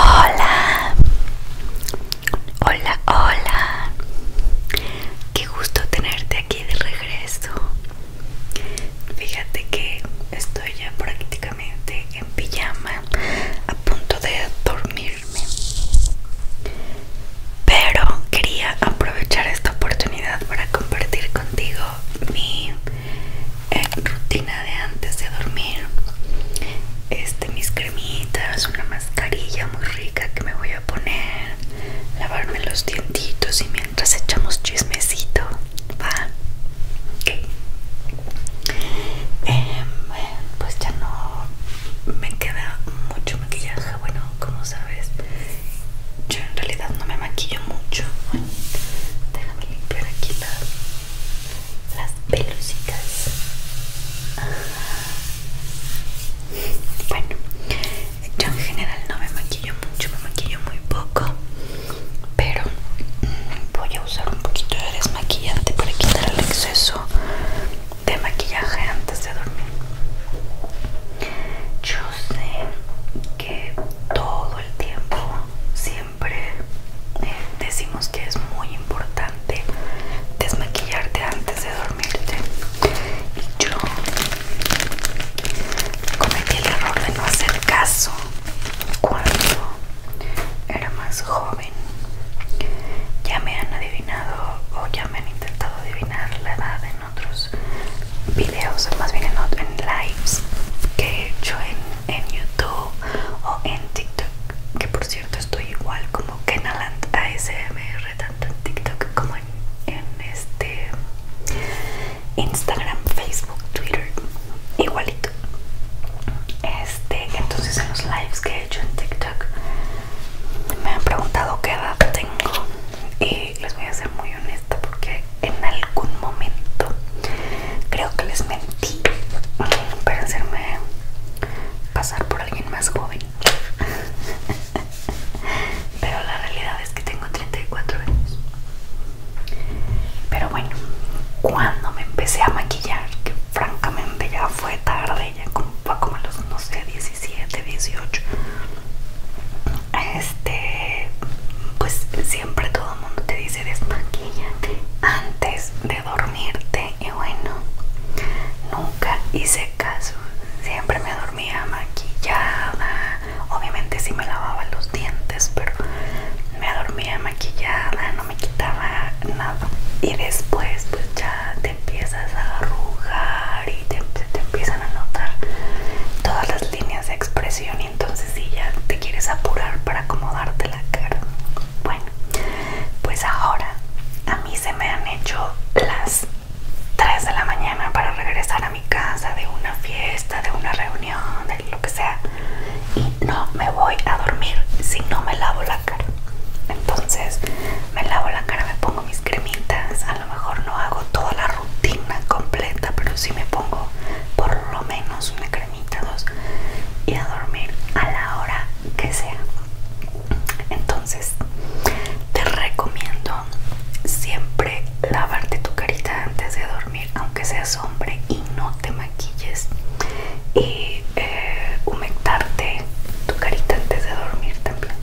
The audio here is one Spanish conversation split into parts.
Hola, hola, hola. Qué gusto tenerte aquí de regreso. Fíjate que estoy ya prácticamente en pijama, a punto de dormirme. Pero quería aprovechar esta oportunidad para compartir contigo mi eh, rutina de antes de dormir este mis cremitas una mascarilla muy rica que me voy a poner lavarme los dientitos y mientras echamos chismecito va Ok. Em, pues ya no me queda mucho maquillaje bueno como sabes yo en realidad no me maquillo mucho. déjame limpiar aquí las pelucitas. Bueno, yo en general no me maquillo mucho, me maquillo muy poco. Pero voy a usar un poquito de desmaquillante para quitar el exceso de maquillaje antes de dormir. Yo sé que todo el tiempo siempre eh, decimos que es muy importante desmaquillarte antes de dormirte y yo cometí el error de no hacer caso cuando era más joven ya me han adivinado o ya me han intentado adivinar la edad otros videos, más bien en, lives que he hecho en, YouTube o en TikTok. Que por cierto estoy igual como Kenaland ASMR, tanto en TikTok como en, este Instagram, Facebook, Twitter, igualito. Este, entonces en los lives que he hecho en TikTok me han preguntado qué edad tengo y les voy a hacer muy honesta porque en algún momento creo que les mentí para hacerme pasar por alguien más joven. Pero la realidad es que tengo 34 años. Pero bueno, cuando me empecé a maquillar, que francamente ya fue tarde, ya como, como a los, no sé, 17, 18, este pues siempre todo el mundo te dice desmaquilla antes de dormirte y bueno nunca hice caso siempre me dormía maquillada obviamente sí me lavaba los dientes pero me dormía maquillada no me quitaba nada y después pues ya te empiezas a arrugar y te, te empiezas a notar todas las líneas de expresión y entonces si ya te quieres apurar para acomodarte la cara. Bueno, pues ahora a mí se me han hecho las 3 de la mañana para regresar a mi casa de una fiesta, de una reunión, de lo que sea. Y no me voy a dormir si no me lavo la cara. Entonces me lavo la cara, me pongo mis cremitas, a lo mejor no hago toda la rutina completa, pero si me pongo por lo menos una cremita, dos y a dormir a la hora que sea. Entonces, te recomiendo siempre lavarte tu carita antes de dormir, aunque seas hombre y no te maquilles. Y eh, humectarte tu carita antes de dormir también.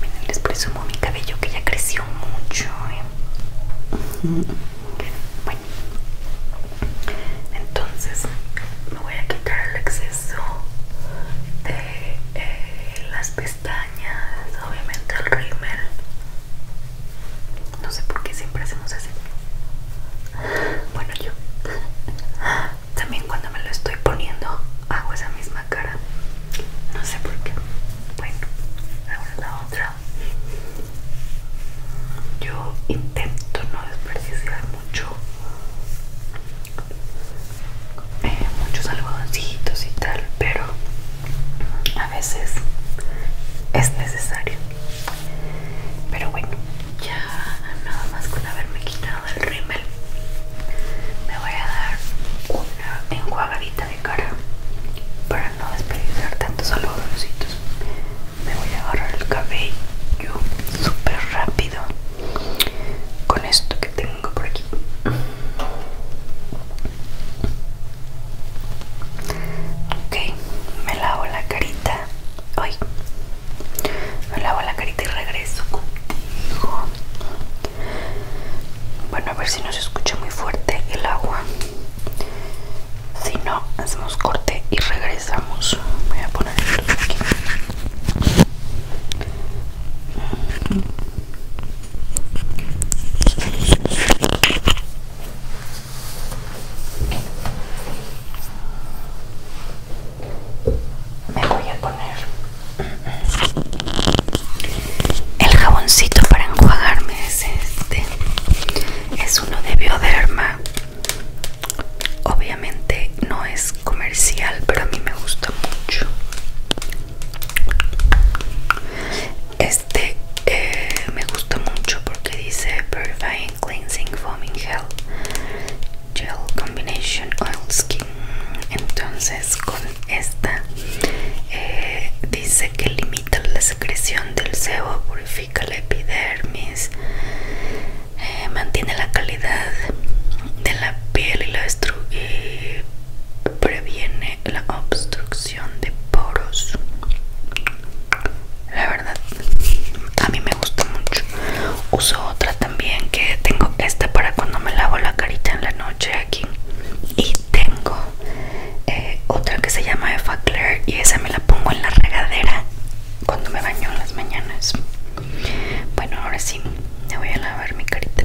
Miren, les presumo mi cabello que ya creció mucho. ¿eh? Bueno, entonces me voy a quitar el exceso de eh, las pestañas, obviamente el rímel. No sé por qué siempre hacemos así. Bueno, yo también cuando me lo estoy poniendo hago esa misma cara. No sé por qué bueno, ahora la otra yo intento no desperdiciar mucho eh, muchos algodoncitos y tal pero a veces es necesario pero bueno ya nada más con haberme quitado el rímel me voy a dar una enjuagadita de cara para no desperdiciar tantos algodoncitos. Me voy a agarrar el cabello súper rápido con esto que tengo por aquí. Ok, me lavo la carita. Hoy me lavo la carita y regreso contigo. Bueno, a ver si nos escucha muy fuerte el agua. Si no, hacemos corte y regresamos. Voy a poner esto aquí. Me voy a poner el jaboncito para enjuagarme es este. Es uno de Bioderma. Obviamente no es comercial, pero a mí me gusta mucho. Este eh, me gusta mucho porque dice Purifying Cleansing Foaming Gel Gel Combination Oil Skin. Entonces con esta eh, dice que limita la secreción del sebo, purifica la epidermis, eh, mantiene la calidad de la piel y, la y previene la obstrucción de poros. La verdad, a mí me gusta mucho. Uso otra también que tengo esta para cuando me lavo la carita en la noche aquí y tengo eh, otra que se llama Eva y esa me la pongo en la regadera cuando me baño en las mañanas bueno ahora sí me voy a lavar mi carita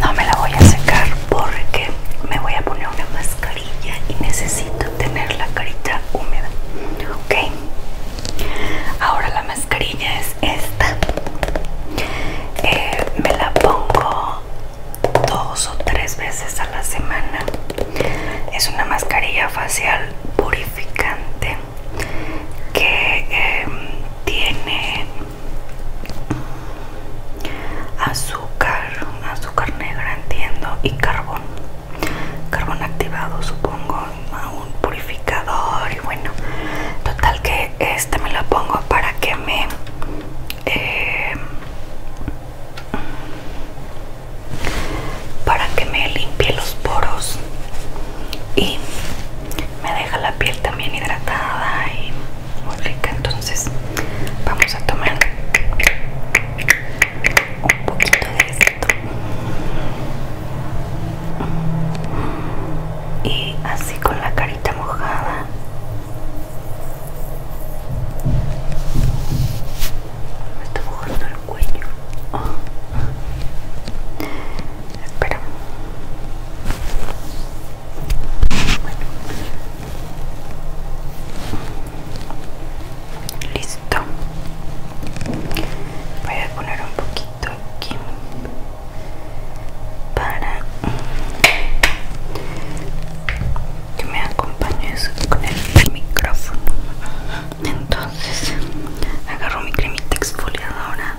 No me la voy a secar porque me voy a poner una mascarilla y necesito tener la carita húmeda. Ok. Ahora la mascarilla es esta. Eh, me la pongo dos o tres veces a la semana. Es una mascarilla facial purificante que em, tiene azúcar, azúcar negra entiendo y carbón, carbón activado supongo, un purificador y bueno, total que este me lo pongo para que me em, para que me limpie los poros y me deja la piel también hidratada y muy rica entonces vamos a tomar un poquito de esto y así con la carita mojada me está mojando el cuello Espera. Listo. Voy a poner un poquito aquí para que me acompañes con el micrófono. Entonces agarro mi cremita exfoliadora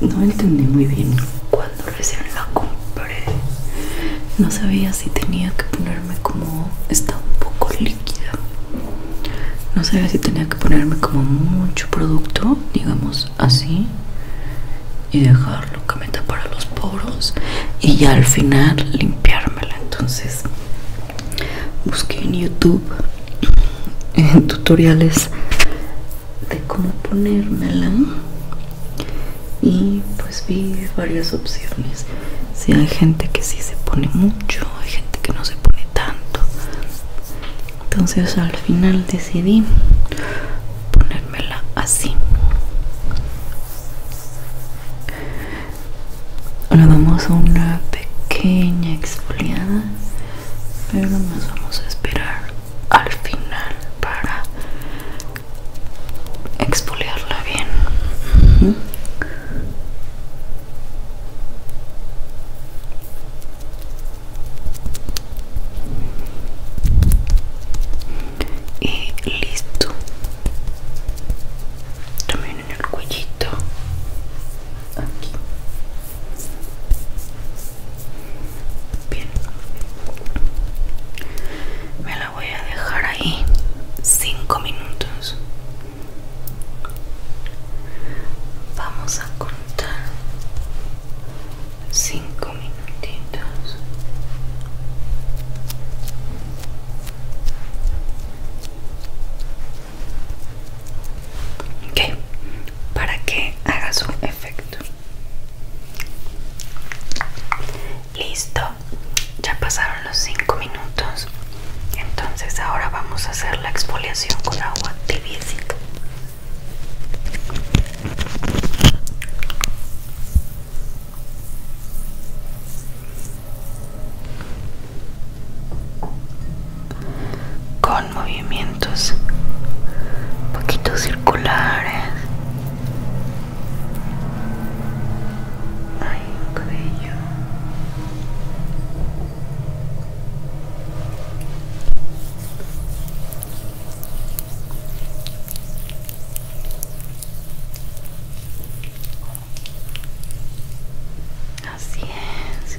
No entendí muy bien cuando recién la compré. No sabía si tenía que ponerme como... Está un poco líquida. No sabía si tenía que ponerme como mucho producto, digamos así. Y dejarlo que para los poros. Y ya al final limpiármela. Entonces busqué en YouTube en tutoriales de cómo ponérmela y pues vi varias opciones si hay gente que sí se pone mucho hay gente que no se pone tanto entonces al final decidí ponérmela así ahora vamos a una pequeña exfoliada pero nos vamos a esperar al final para exfoliarla bien y listo también en el cuellito Bien. Me la voy a dejar ahí cinco minutos. Vamos a contar cinco minutitos. Ok, para que haga su perfecto listo ya pasaron los cinco minutos entonces ahora vamos a hacer la exfoliación con agua tibia movimientos poquito circulares Así es.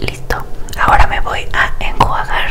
Listo, ahora me voy a enjuagar.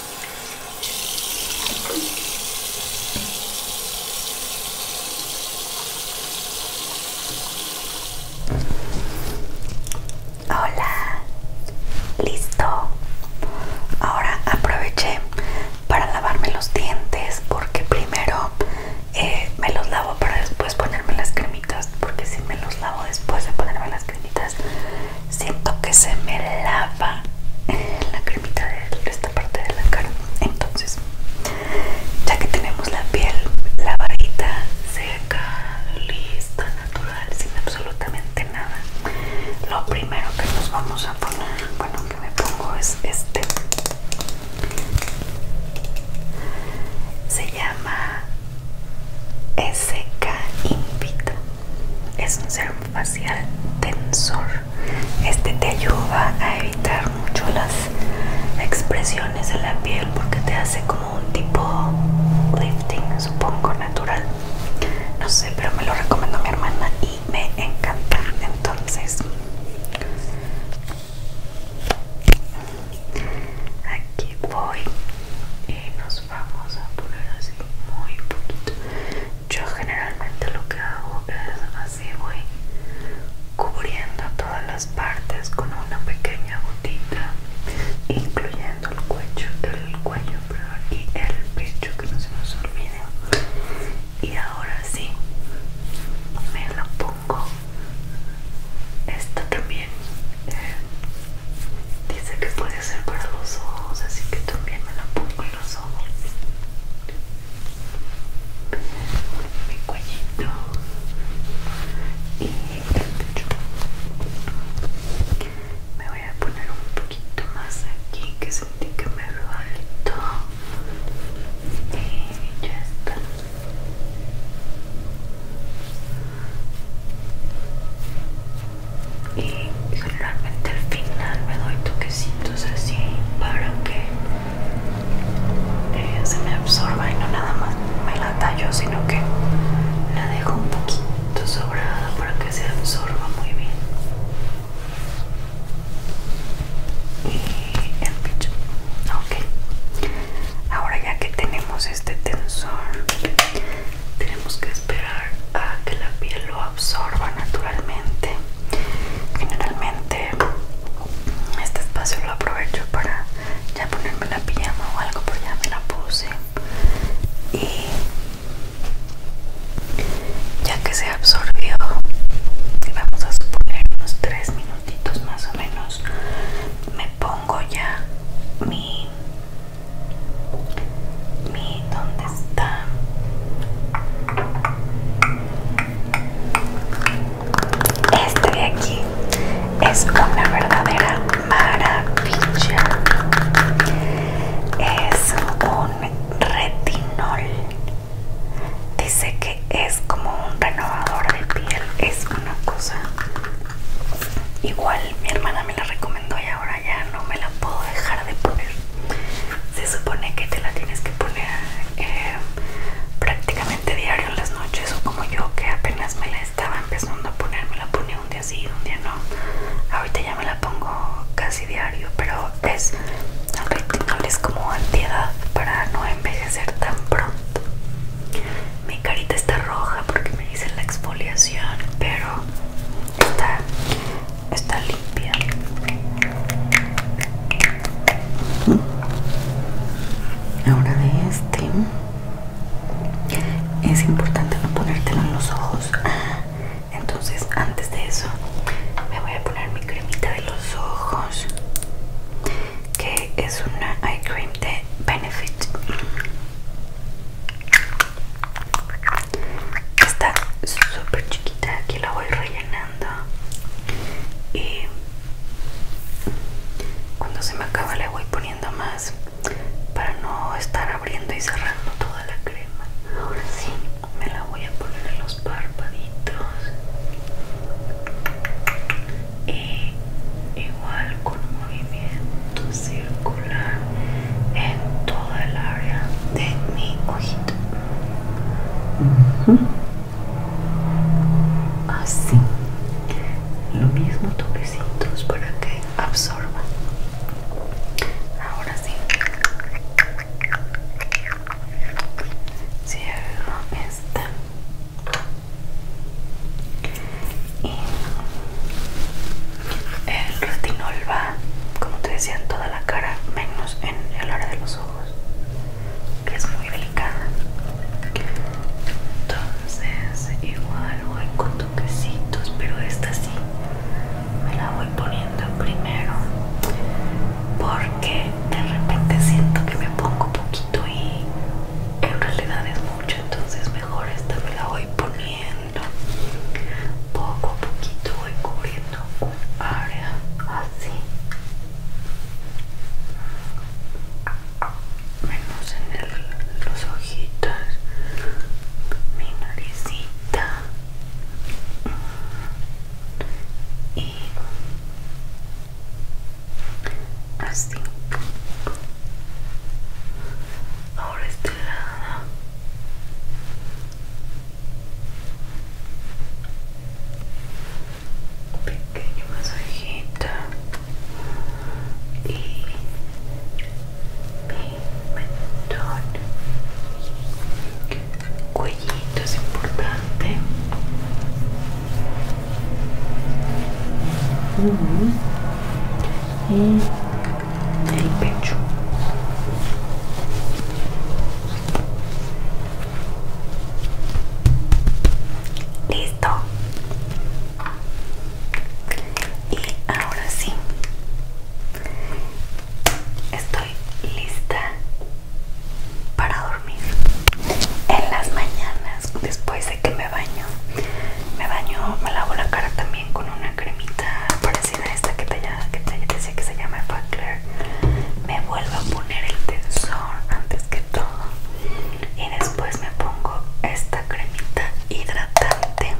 Hola, listo. Ahora aproveché para lavarme los dientes porque primero eh, me los lavo para después ponerme las cremitas porque si me los lavo después de ponerme las cremitas siento que se me lava la cremita de esta parte de la cara entonces ya que tenemos la piel lavadita seca lista natural sin absolutamente nada lo primero que nos vamos a poner bueno que me pongo es este se llama SK Invita es un serum facial tensor. Este te ayuda a evitar mucho las expresiones en la piel porque te hace como un tipo lifting, supongo, natural. No sé, pero me lo recomendó mi hermana y me encanta. Entonces, aquí voy y nos vamos a poner así muy poquito yo generalmente lo que hago es así voy cubriendo todas las partes con una pequeña gotita incluyendo el cuello el cuello y el pecho que no se nos olvide y ahora sí me la pongo esta también eh, dice que puede ser para los ojos así que también me la pongo los ojos mi cuellito y el pecho me voy a poner un poquito más aquí que sentí que me faltó y ya está y generalmente al final me doy toquecitos así para que eh, se me absorba y no nada más me la tallo sino que la dejo un poquito sobrada para que se absorba muy bien y el ok ahora ya que tenemos este tensor tenemos que esperar a que la piel lo absorba naturalmente generalmente este espacio lo aprovecho para ya ponerme la pijama o algo pero pues ya me la puse y ya que se absorbió vamos a suponer unos 3 minutitos más o menos me pongo ya mi mi, ¿dónde está? Este de aquí es una verdadera maravilla. Es un retinol. Dice que es como un renovador de piel. Es una cosa igual. Mi hermana me la recomendó y ahora ya no me la puedo dejar de poner. Se supone que te la tienes que poner eh, prácticamente diario en las noches o como yo que apenas me la estaba empezando a poner, me la ponía un día sí, un día no. Ahorita ya me la pongo casi diario, pero es es como antiedad para no envejecer tan pronto. Mi carita está roja porque me dicen la exfoliación, pero está, está limpia. Ahora de este es importante no ponértelo en los ojos. Entonces antes de eso me voy a poner mi cremita de los ojos que es una eye cream de Benefit Está súper chiquita, aquí la voy rellenando. Y cuando se me acaba le voy poniendo más para no estar abriendo y cerrando toda la crema. Ahora sí, me la voy a poner en los párpaditos. Y igual con un movimiento circular en toda el área de mi ojito así lo mismo toquecitos para que absorba ahora sí cierro esta y el retinol va, como te decía, en toda la cara, menos en el área de los ojos, que es muy delicada. Entonces, igual voy con toquecitos, pero esta sí me la voy poniendo primero porque de repente siento que me pongo poquito y en realidad es mucho, entonces mejor esta me la voy poniendo poco a poquito voy cubriendo área así menos en el, los ojitos mi naricita y así ahora este lado pequeño masajito y mi mentón cuellito es importante mm. y el pecho listo y ahora sí estoy lista para dormir en las mañanas después de que me baño me baño me lavo la cara también con una cremita para esta que te, que decía que se llama Facler me vuelvo a poner el tensor antes que todo y después me pongo esta cremita hidratante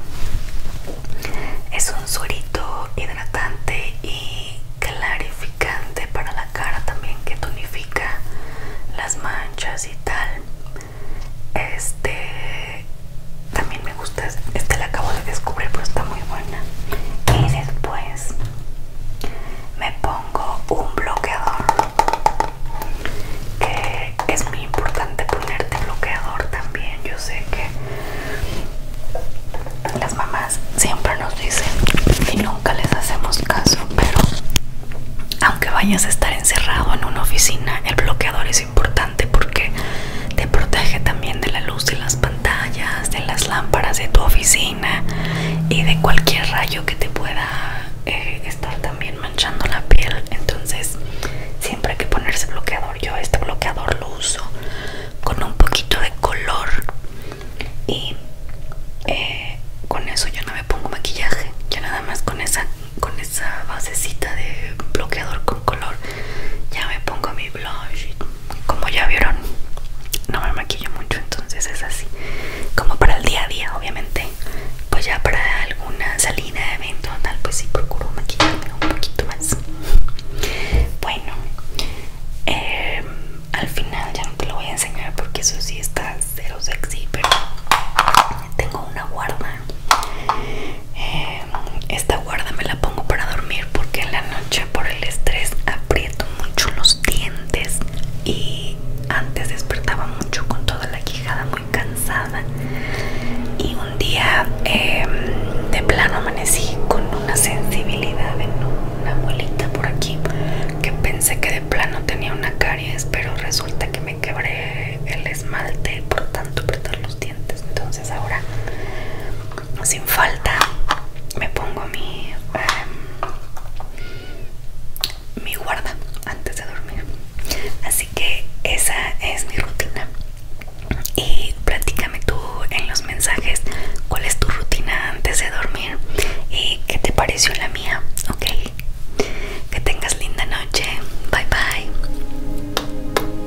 es un suerito hidratante y clarificante para la cara también que tonifica las manchas y tal este también me gusta. Este la acabo de descubrir, pero está muy buena. Y después me pongo un bloqueador. Que es muy importante ponerte bloqueador también. Yo sé que las mamás siempre nos dicen y nunca les hacemos caso, pero aunque vayas a estar encerrado en una oficina, el bloqueador es importante porque te protege también de la luz de las pantallas, de las lámparas de tu oficina y de cualquier rayo que te pueda eh, estar también manchando la piel. Entonces siempre hay que ponerse bloqueador. Yo este bloqueador lo uso con un poquito de color y eh, con eso yo no me pongo maquillaje. Yo nada más con esa, con esa basecita de bloqueador con color ya me pongo mi blush como ya vieron no me maquillo mucho entonces es así como para el día a día obviamente pues ya para alguna salida evento tal pues sí procuro maquillarme un poquito más bueno em, al final ya no te lo voy a enseñar porque eso sí está cero sexy pero tengo una guarda em, esta guarda me la pongo para dormir porque en la noche por el estrés aprieto mucho los dientes y antes despertaba mucho con toda la quijada muy cansada y un día em, de plano amanecí con una sensibilidad en una abuelita por aquí que pensé que de plano tenía una caries pero resulta que me quebré el esmalte por tanto apretar los dientes entonces ahora sin falta me pongo mi em, mi guarda antes de dormir así que esa es mi rutina y platícame tú en los mensajes cuál es tu rutina antes de dormir y qué te pareció la mía ok que tengas linda noche bye bye